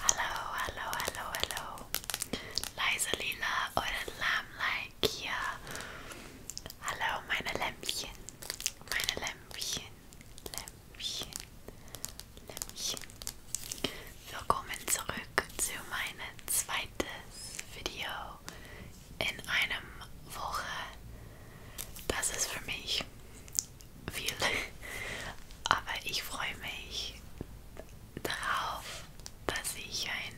Hallo, hallo, hallo, hallo. Leise Lila, eure Lamlein hier. Hallo, meine Lämpchen. Meine Lämpchen. Lämpchen. Lämpchen. Willkommen zurück zu meinem zweites Video in einem Woche. Das ist für mich viel. Aber ich freue mich darauf, dass ich ein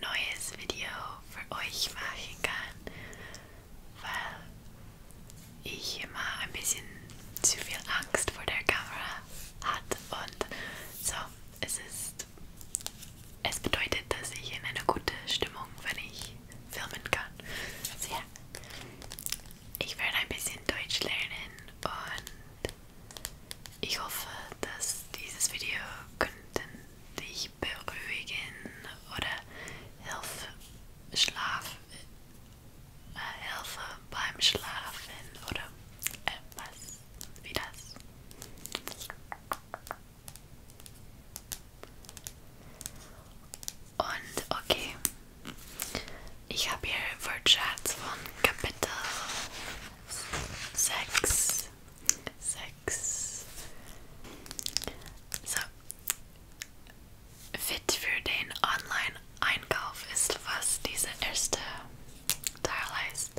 neues Video für euch machen kann, weil ich immer ein bisschen zu viel Angst vor der Kamera hatte und so, es ist, es bedeutet, dass ich in einer guten Stimmung, wenn ich filmen kann. Also ja, ich werde ein bisschen Deutsch lernen und ich hoffe, dass dieses Video könnten dich beruhigen oder Hilfe, Schlaf, äh, Hilfe beim Schlafen oder etwas wie das. Und okay, ich habe hier Wortschatz von Kapitel 6. 6. So. Fit für den Online-Einkauf ist, was dieser erste Teil heißt.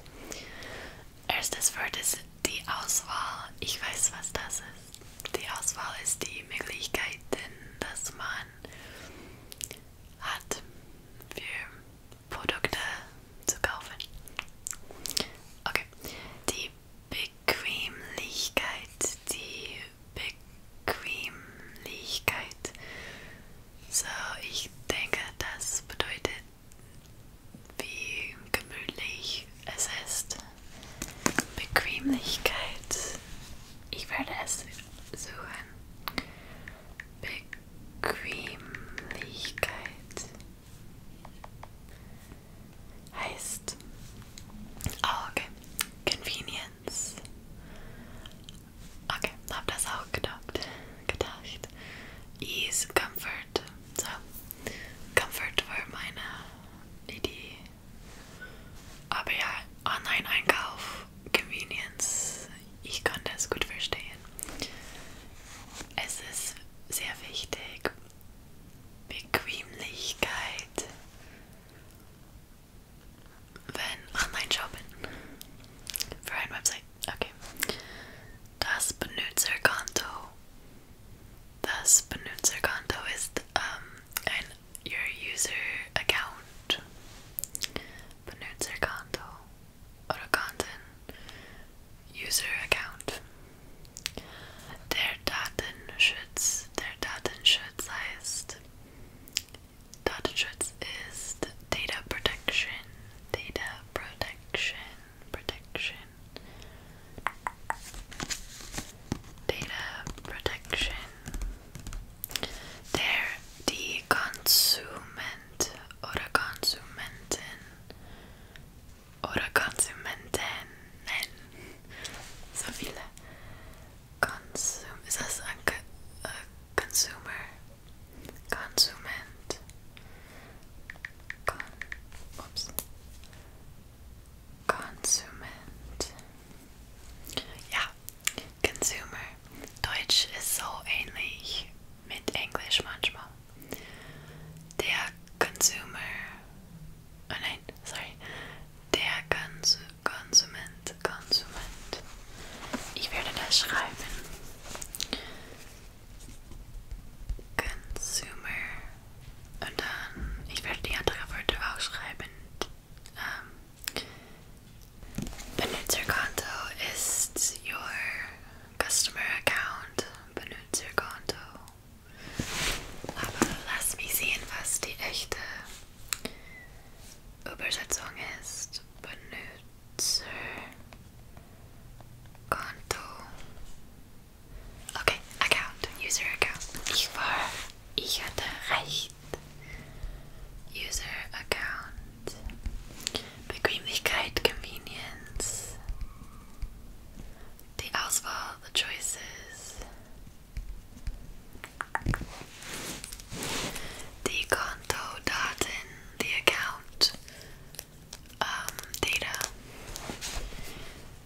Erstes Wort ist die Auswahl. Ich weiß, was das ist. Die Auswahl ist die Möglichkeiten, dass man hat für Produkte zu kaufen. Okay, die Bequemlichkeit, die Bequemlichkeit. So, ich denke, das bedeutet, wie gemütlich es ist. Bequemlichkeit Eifersuchen, Bequemlichkeit heißt oh, okay. Convenience. Okay, hab das auch gedacht. gedacht. Ease, Comfort. So, Comfort war meine Idee Aber ja, Online-Einkauf, Convenience, ich kann das gut verstehen. Es ist sehr wichtig, Bequemlichkeit, wenn Online-Shopping für eine Website, okay. Das Benutzerkonto. Das Benutzerkonto ist ähm, an, your user account. Benutzerkonto Kanto oder User Account. Der Datenschutz, der Datenschutz heißt Datenschutz ist Data Protection, Data Protection, Protection, Data Protection. There, die Konsument oder Konsumenten oder Konsumentinnen. So viele. Consum ist das ein uh, Consumer? Konsument. Kon Ups. Konsument. Ja, Consumer. Deutsch ist so ähnlich mit Englisch manchmal. Der Consumer. Oh nein, sorry. Der Cons Konsument. Konsument. Ich werde das schreiben. Consumer. Und dann, ich werde die anderen Wörter auch schreiben. Um, Benutzerkonto Banut is your customer account. Banut Aber lass mich sehen, was die echte Übersetzung ist. Benutzerkonto. Okay, account, user account. Ich war Ich hatte recht. User Account. Bequemlichkeit, Convenience. Die Auswahl, the choices. Die Kontodaten, the account, um, data.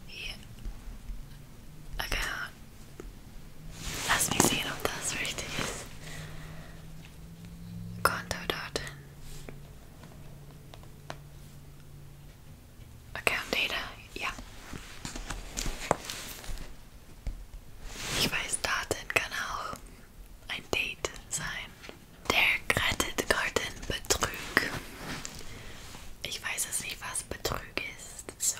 Yeah. Account Lass mich sehen, ob das richtig ist. Kontodaten. Account Data, ja. Ich weiß, Daten kann auch ein Date sein. Der Kreditkartenbetrug. Ich weiß es nicht, was Betrug ist. So.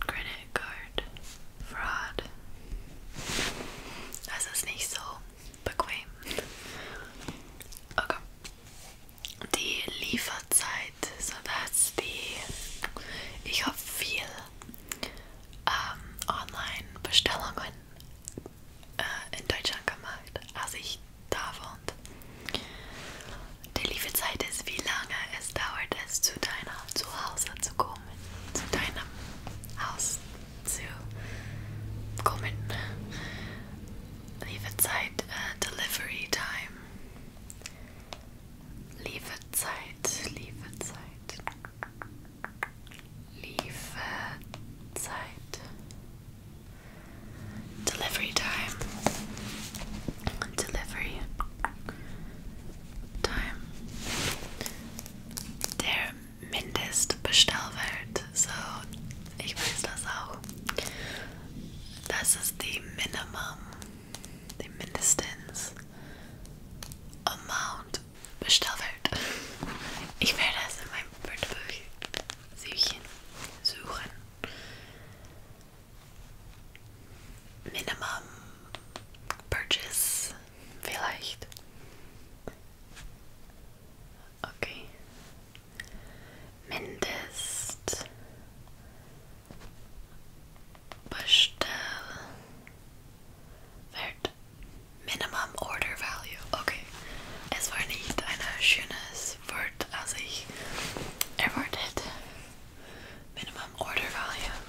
Credit Card Fraud. Das ist nicht so bequem. Okay. Die Lieferzeit, sodass die, ich habe viel ähm, Online-Bestellungen äh, in Deutschland gemacht, als ich da wohnte. Die Lieferzeit ist, wie lange es dauert, es zu deinem Zuhause zu kommen. Zu deinem Haus zu kommen. Lieferzeit, uh, äh, Delivery Time. Lieferzeit, Lieferzeit. Lieferzeit. Delivery Time. Delivery time. Der Mindestbestellwert, so ich weiß das auch. Das ist die Minimum, die mindestens Amount Bestellwert. Ich werde das in meinem Wörterbuch suchen. Minimum Purchase vielleicht. Okay. Mindest Bestellwert Minimum Order Value. Okay. Es war nicht ein schönes Wort, als ich erwartet Minimum order volume.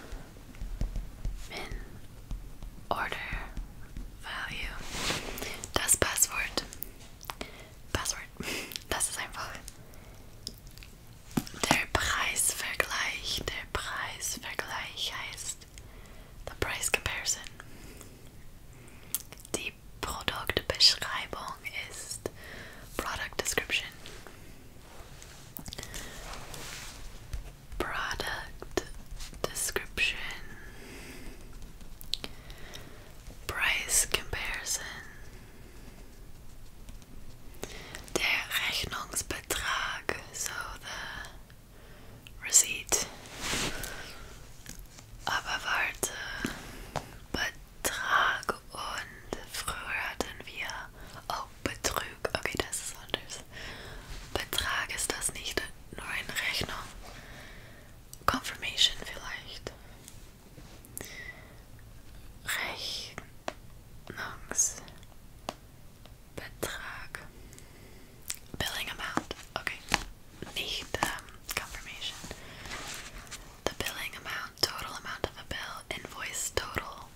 Min order value. Das Passwort. Passwort. Das ist einfach. Der Preisvergleich. Der Preisvergleich heißt The Price Comparison. Die Produktbeschreibung ist Product Description. Product description, price comparison, der Rechnungsbetrag, so the receipt. Aber warte, Betrag und früher hatten wir Oh, Betrug. Okay, das ist anders. Betrag ist das nicht nur eine Rechnung. Confirmation vielleicht. Rechnungsbetrag. Billing amount. Okay. Nicht um, ähm, Confirmation. the billing amount, total amount of a bill, invoice total.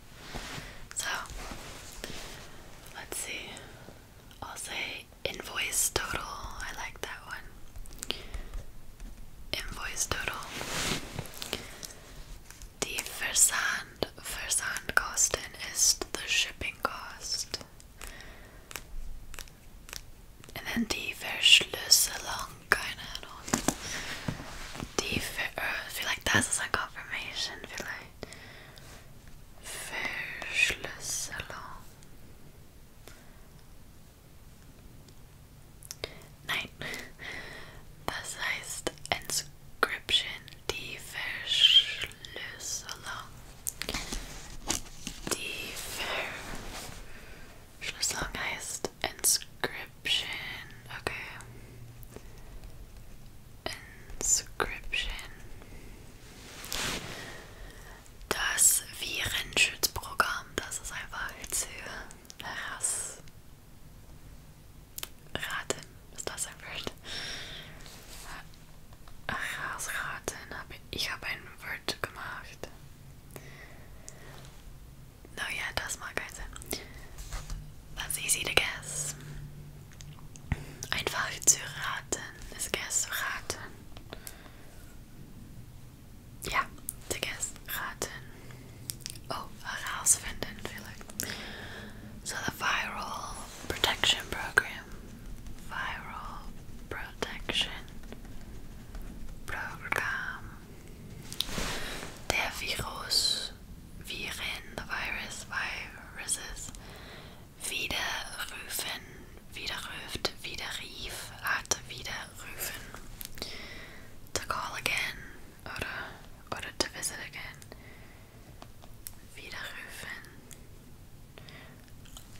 So let's see. I'll say invoice total. I like that one. Invoice total. Die Versand, Versandkosten ist the shipping cost. And then die Verschlüsselung, keine Ahnung. Uh, feel like that's ist Confirmation, vielleicht. Verschlüsselung. Nein. Das heißt Inscription, die Verschlüsselung. Die Verschlüsselung heißt ist Inscription. Okay. Inscription. Das Virenschutzprogramm, das ist einfach für Rass. Raten, ist das ein Wort? Rassraten, ich habe ein Wort gemacht. No, yeah, it does mark That's easy to guess. Einfach zu raten is guess raten. Ja, to guess raten. Oh, herausfinden vielleicht. So the viral protection program. Viral protection program. Der Virus, Viren, the virus, viruses, widerrufen, widerruft, widerrief, hat, widerrufen. To call again, oder, oder to visit again. Widerrufen.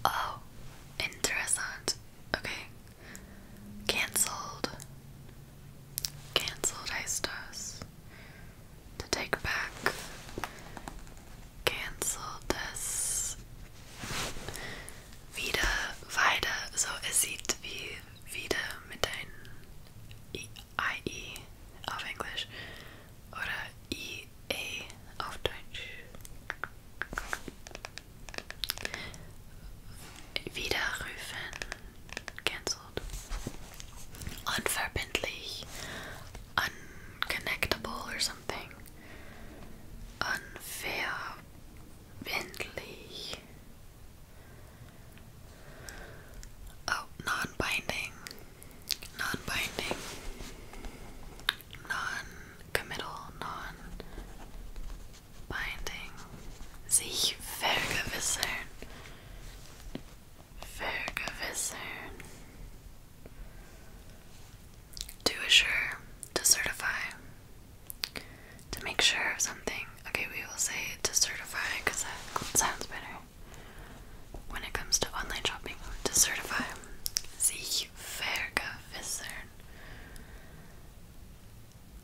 Oh, interessant. Okay, Cancelled. Cancelled Aistos. To take back. Cancelled this. Wieder, weiter. So, es sieht wie wieder mit ein IE auf Englisch oder IE auf Deutsch. Widerrufen cancelled. Unverbindlich, unconnectable or something. Unverbindlich. Oh, non binding, non binding, non committal, non binding sich vergewissern. Vergewissern. To assure, to certify, to make sure of something. Okay, we will say to certify because that sounds better. When it comes to online shopping, to certify, sich vergewissern.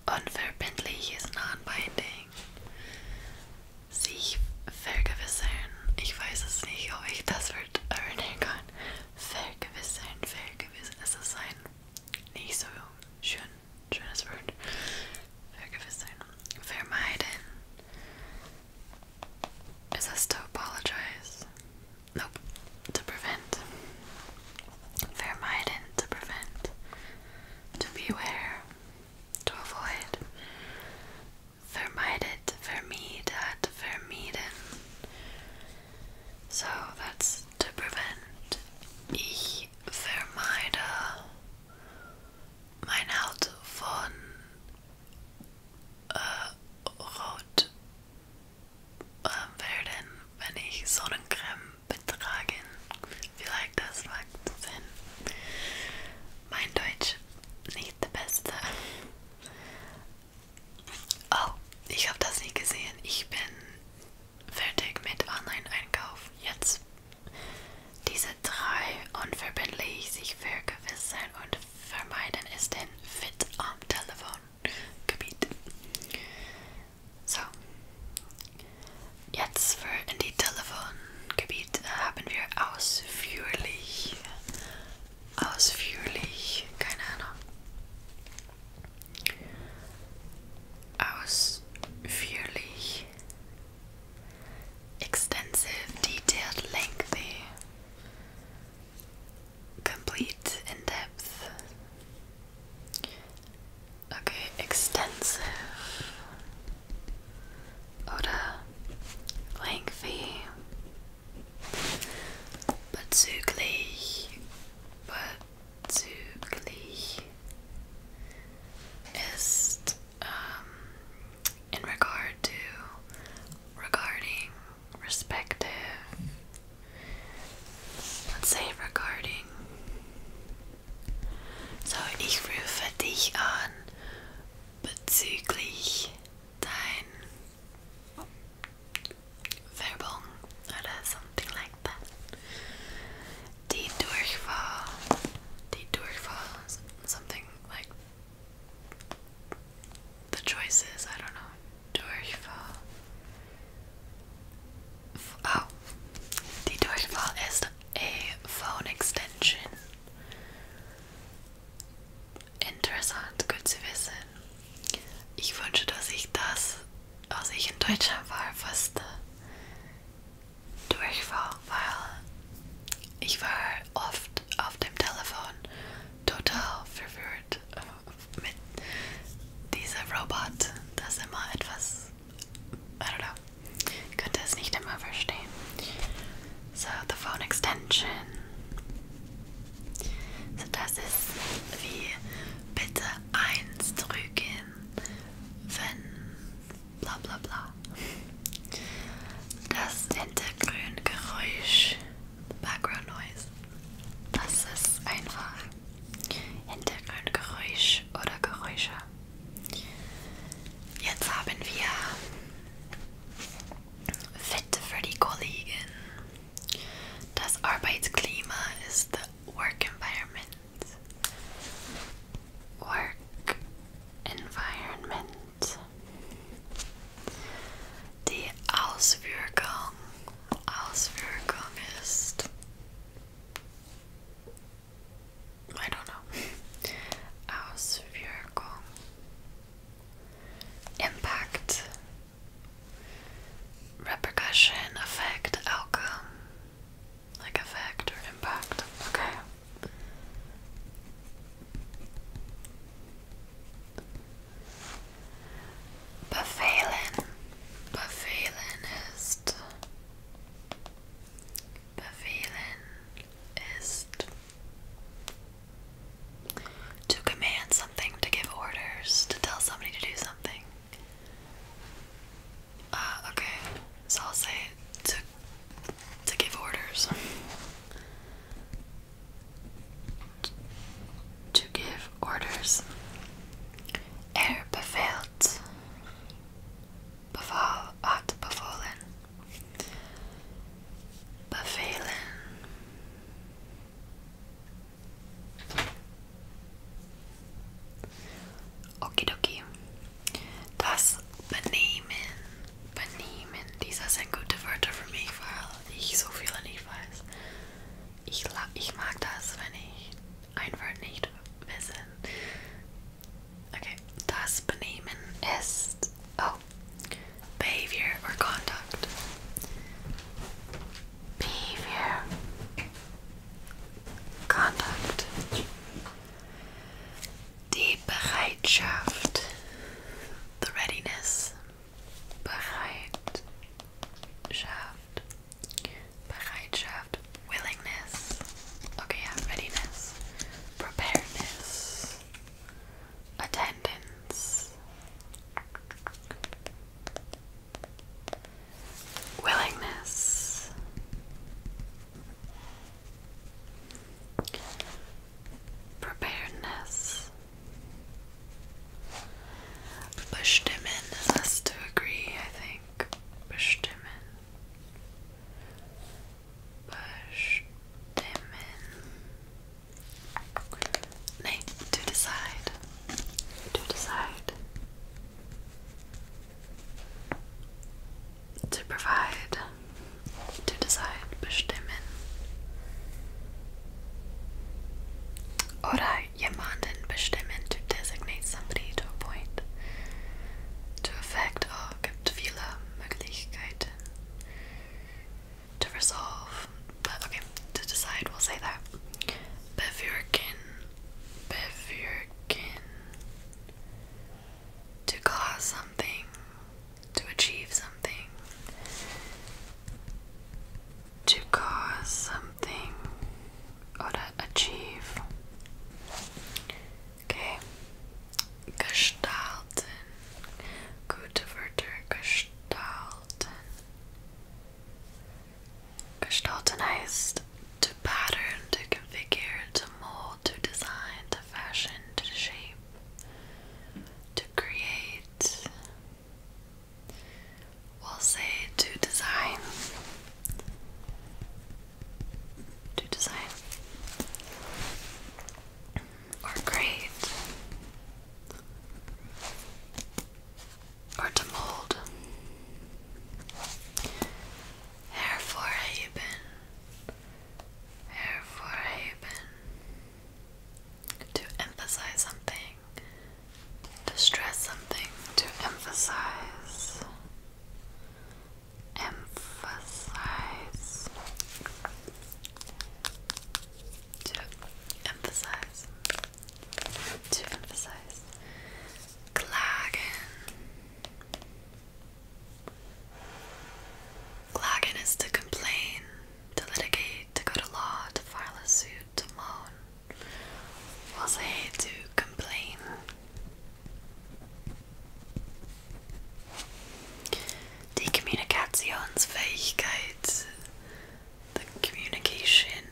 Unverbindlich ist non-binding. Sich vergewissern. Ich weiß es nicht, ob ich das Wort erinnern kann. Vergewissern, vergewissern. Es ist ein nicht so schön, schönes Wort. Vergewissern. Vermeiden. Is this to apologize? Nope. To prevent. Vermiden to prevent, to beware, to avoid. Vermided, vermided, vermieden. So that's to prevent. Ich vermeide mein Haut von äh, Rot Ähm, werden, wenn ich Sonnencreme betragen. Vielleicht das macht Sinn. Mein Deutsch nicht der beste. Oh, ich habe das nicht gesehen. Ich bin fertig mit Online-Einkauf. Jetzt diese drei unverbindlich sich vergewissern und vermeiden ist ein Fit am Telefon Gebiet. So, jetzt für in die Telefongebiet äh, haben wir ausführlich, ausführlich, keine Ahnung, ausführlich, extensive, detailed, lengthy, complete, in depth. Okay, extensive oder lengthy bezüglich bezüglich ist um, in regard to regarding respective Let's say regarding. So, ich rufe dich an bezüglich dein Werbung oder something like that. Die Durchfall, die Durchfall, something like the choices, I don't know. Durchfall. Oh, die Durchwahl ist a phone extension. Interessant, gut zu wissen. Ich wünsche, dass ich das, als ich in Deutschland war, fast äh, durchfall, weil ich war oft auf dem Telefon total verwirrt mit diesem Robot das immer etwas. Oder könnte es nicht immer verstehen. So, the phone extension. So, das ist wie bitte 1 drücken, wenn bla bla bla. Das Hintergrundgeräusch, Background Noise, das ist einfach Hintergrundgeräusch oder Geräusche. Jetzt haben wir Fit für die Kollegen. Das Arbeitsklima ist the Work Environment. Work Environment. Die Auswirkung Als I don't know. Auswirkung. Impact. Repercussion, effect, outcome. Like effect or impact. Okay. Befehlen. Befehlen is To command something, to give orders, to tell somebody to do something. Uh, okay, so I'll say to, to give orders to give orders. Er beveelt. Beval had bevolen. Bevelen. Okidoki. Das Benehmen. Benehmen. Dieser ist ein guter Wörter für mich, weil ich so viele nicht weiß. ich, ich mag das, wenn ich ein Wort nicht wissen. Okay, das Benehmen ist oh, Behavior or Conduct. Behavior, Conduct. Die Bereitschaft, the readiness, bereit Bereitschaft. Bereitschaft. Willingness. Okay, yeah, readiness. Preparedness. Attendance. Willingness. Preparedness. Bestimmen has to agree, I think. Bestimmen. Bestimmen. Nee, to decide. To decide. To provide. To decide. Bestimmen. Alright jemanden bestimmen to designate somebody to appoint. To effect, oh, gibt viele Möglichkeiten. To resolve, but okay, to decide, we'll say that. Bewirken, bewirken. To cause something, to achieve something to cause something or to achieve. Okay. Gestalten. Gute Wörter gestalten. Gestalten heißt to pattern, to configure, to mold, to design, to fashion, to shape, to create, We'll say to design. To design. Or grade. Or to mold. Herfor haben. Hervorheben. To emphasize something to stress something, to emphasize. Emphasize. To emphasize. To emphasize. Klagen. Klagen is to complain, to litigate, to go to law, to file a suit, to moan. was will say to complain. Die Kommunikationsfähigkeit, the communication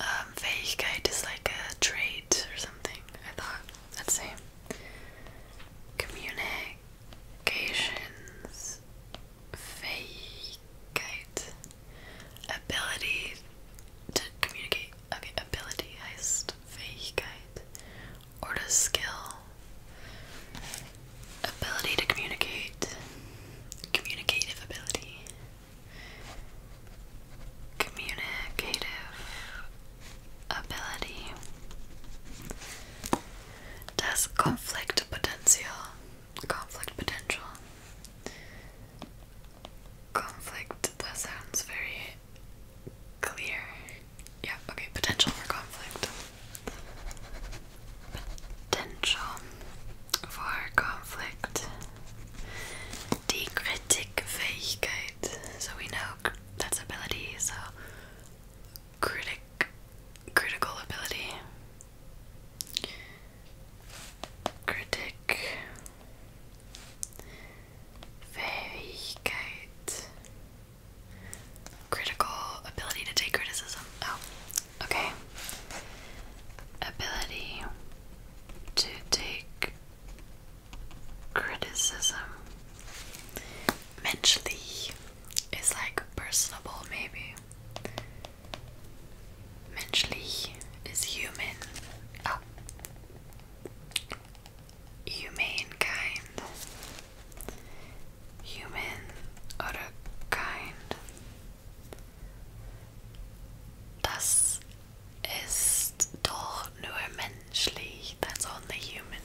um, is like a trait or something, I thought. Let's see. Communic communications fähigkeit ability to communicate okay ability heißt fähigkeit or to skill ability to communicate communicative ability communicative ability does conflict potential conflict potential conflict that sounds very clear. Yeah, okay, potential for conflict. Potential for conflict. Die Kritikfähigkeit. So we know that's ability, so critic critical ability critic Fähigkeit critical ability to take criticism oh okay ability to take criticism Menschlich is like personable, maybe. Menschlich is human. Oh. Humane kind. Human oder kind. Das ist doch nur menschlich. That's only human.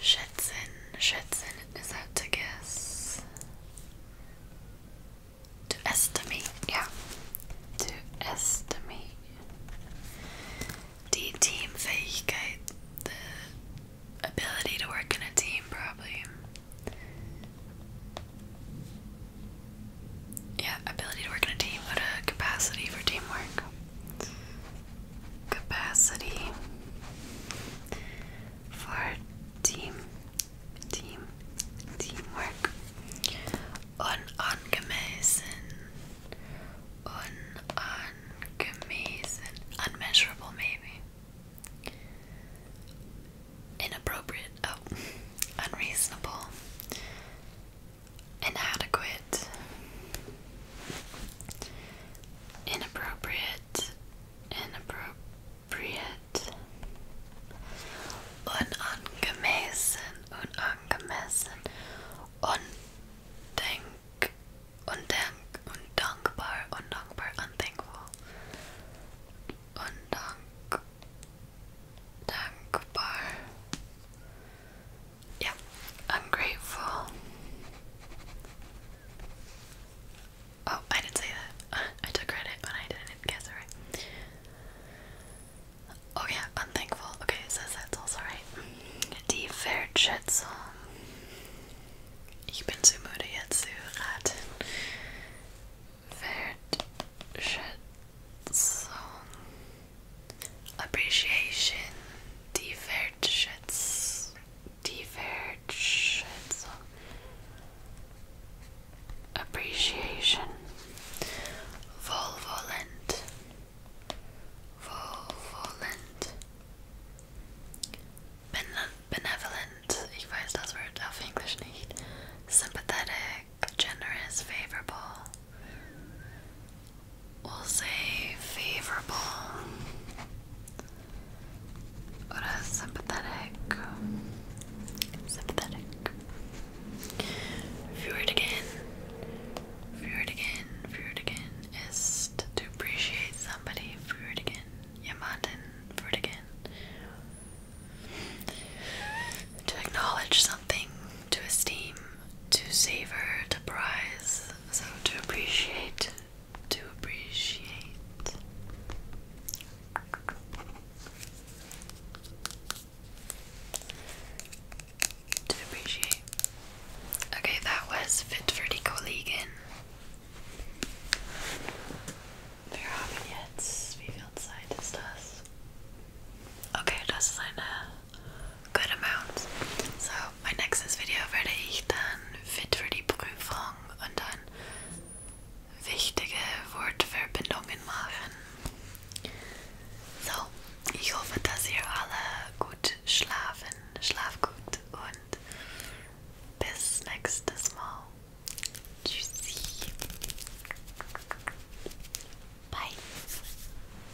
Shetson. Shetson is out to guess. To estimate, yeah. To estimate. Die Teamfähigkeit. The ability to work in a team, probably. Yeah, ability to work in a team, What a capacity for teamwork capacity for team team teamwork unangemessen unangemessen unmeasurable maybe inappropriate oh unreasonable inadequate, inappropriate, inappropriate, unangemessen, unangemessen, undenk, undenk, undankbar, undankbar, unthankful, undank, dankbar. Yeah, I'm grateful. Oh, I didn't say that. I took credit, but I didn't guess right. Oh yeah, i Okay, it says that's also right. Die Wertschätzung. Ich bin zu müde jetzt zu raten. Wertschätzung appreciation divergence divergence appreciation volvolent volvolent benevolent ich weiß das Wort auf Englisch nicht sympathetic generous favorable We'll say favorable or a sympathetic. Sympathetic. View again. View again. View again is to, appreciate somebody. View again. Yamaten. View again. To acknowledge something to esteem, to savor, to prize, so to appreciate, to appreciate. To appreciate. Okay, that was fit for the Wir haben jetzt, wie viel Zeit ist das? Okay, das good amounts. So, mein nächstes Video werde ich dann fit für die Prüfung und dann wichtige Wortverbindungen machen. So, ich hoffe, dass ihr alle gut schlafen. Schlaf gut und bis nächstes Mal. Tschüssi. Bye.